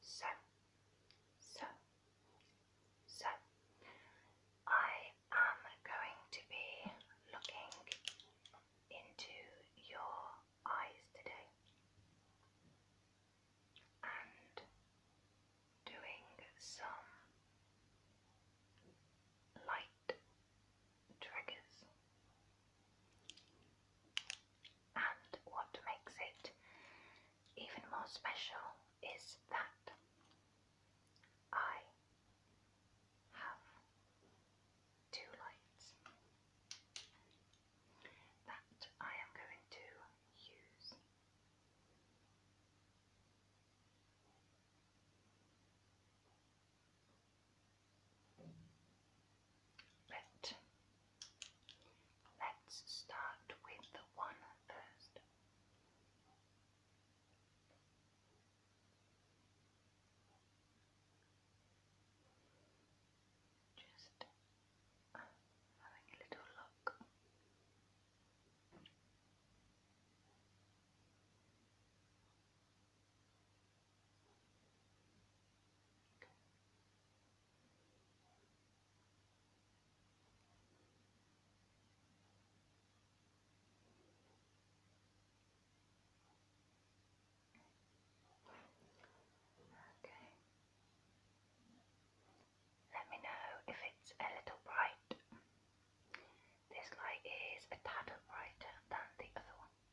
So, so, so, I am going to be looking into your eyes today and doing some light triggers and what makes it even more special is that I have two lights that I am going to use. But let's start with the one first. Just having a little look. Okay. Let me know if it's a little bright. This light is a tad brighter than the other one.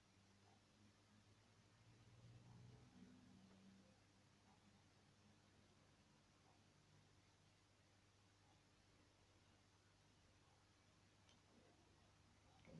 Okay, let me just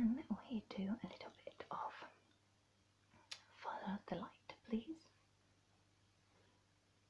Can we do a little bit of follow the light, please?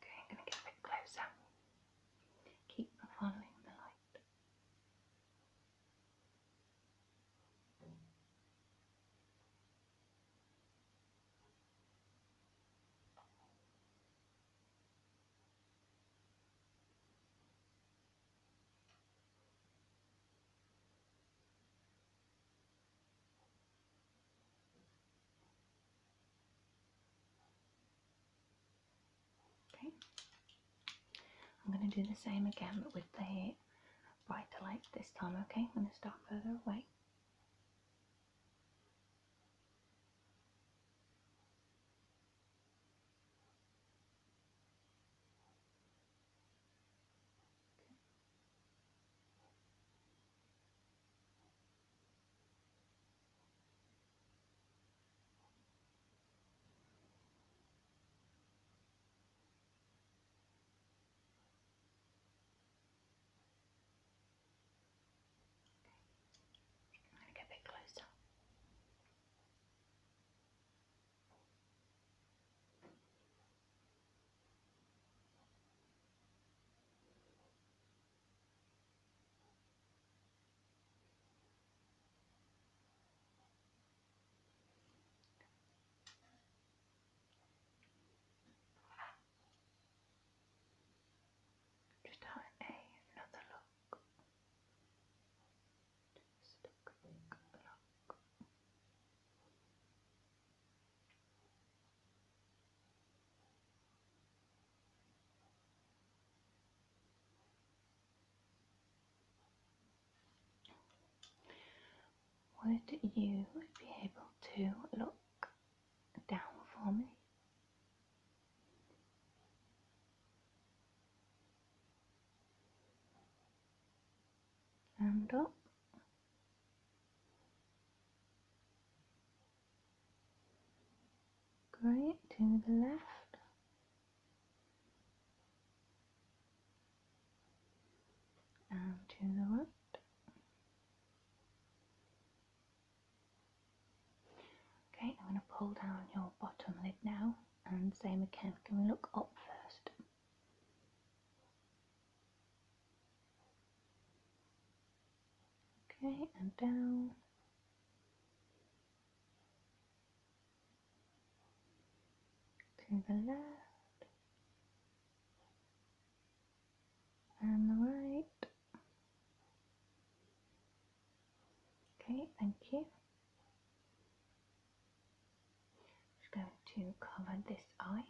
Okay, I'm going to get a bit closer. Keep following the light. Okay, I'm going to do the same again but with the brighter light this time. Okay, I'm going to start further away. I'm going to get a bit closer. Just having another look. Just a quick look. Would you be able to look down for me? and up great to the left and to the right okay I'm going to pull down your bottom lid now and same again can we look up first Okay, and down. To the left. And the right. Okay, thank you. Just going to cover this eye.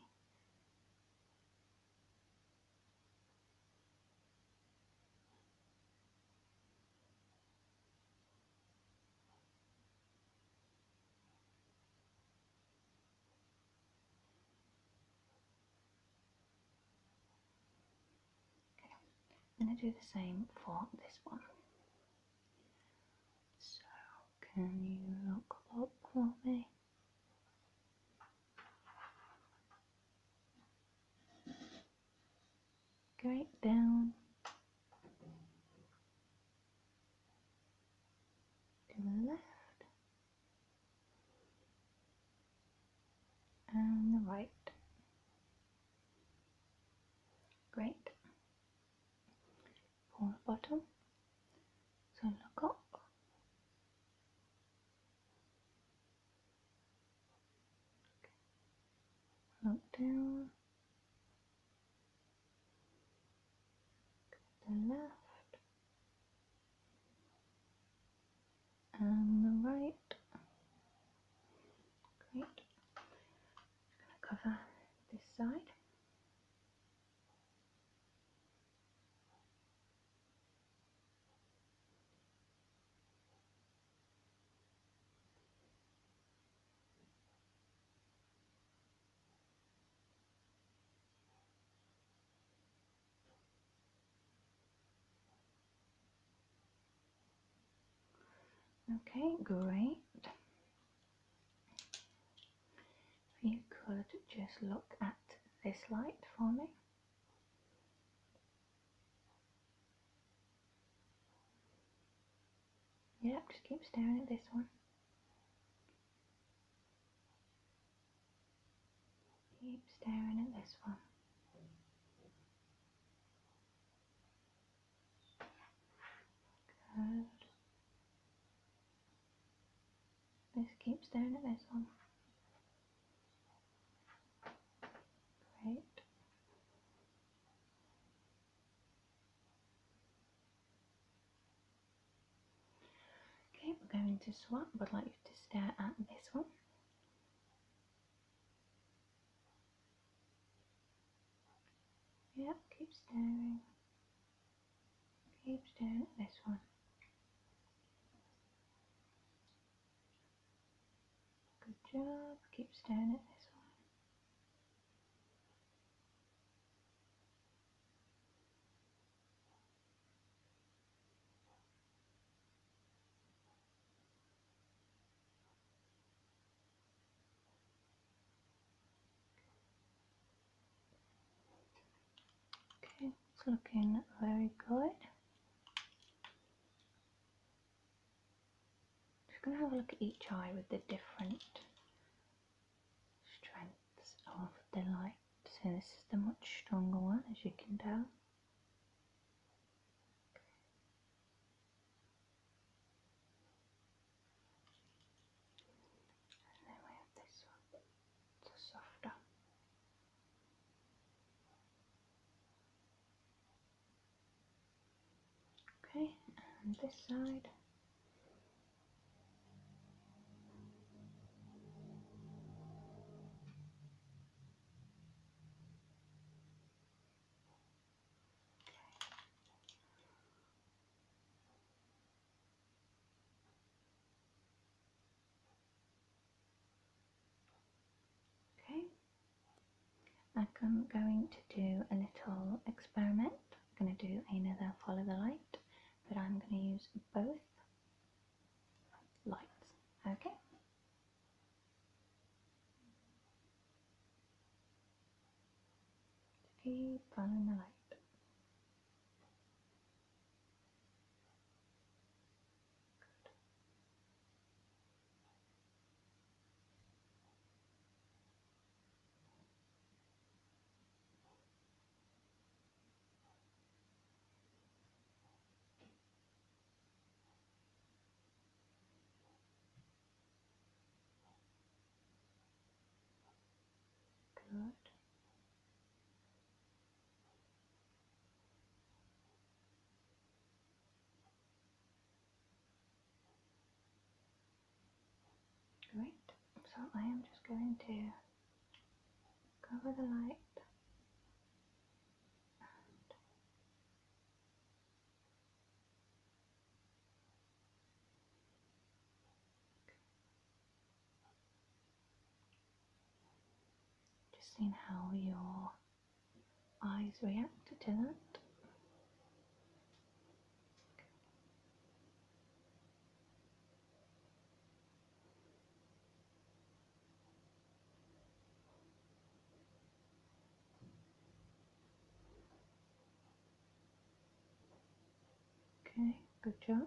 Okay. I'm going to do the same for this one. So, can you look up for me? Great down to the left and the right. Great for bottom so look up okay. look down to the left and the right great going to cover this side. Okay, great. you could just look at this light for me. Yep, just keep staring at this one. Keep staring at this one. Good. Just keep staring at this one. Great. Okay, we're going to swap. I'd like you to stare at this one. Yep, keep staring. Keep staring at this one. Good job, keep staring at this one. Okay, it's looking very good. Just gonna have a look at each eye with the different strengths of the light. So this is the much stronger one as you can tell. And then we have this one, it's a softer. Okay, and this side. Okay. I'm going to do a little experiment. I'm going to do another follow the light, but I'm going to use both lights. Okay to be fun in the light. Good. Good. Great. So I am just going to cover the light just seeing how your eyes react to that. Okay, good job.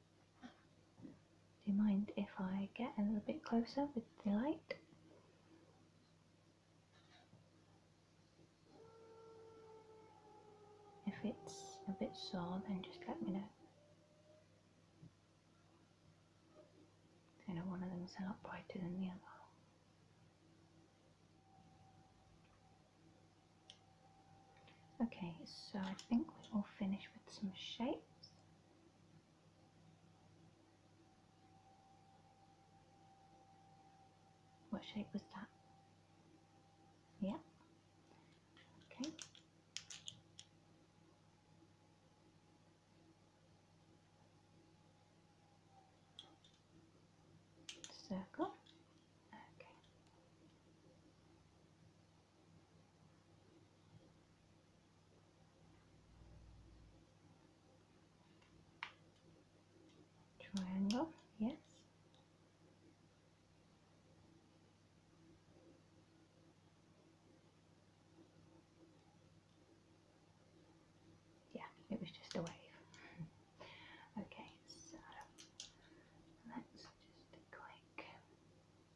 Do you mind if I get a little bit closer with the light? If it's a bit sore, then just let me know. I know one of them is a lot brighter than the other. Okay, so I think we will finish with some shapes. What shape was that? Yeah. Okay. Circle. Okay. Triangle, yes. Yeah, it was just a wave. okay, so let's just click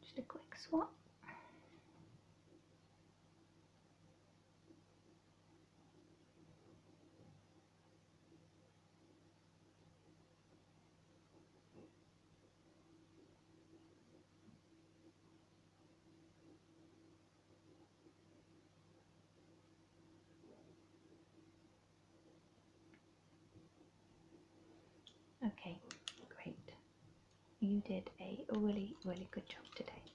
Just a quick swap. Okay, great. You did a really, really good job today.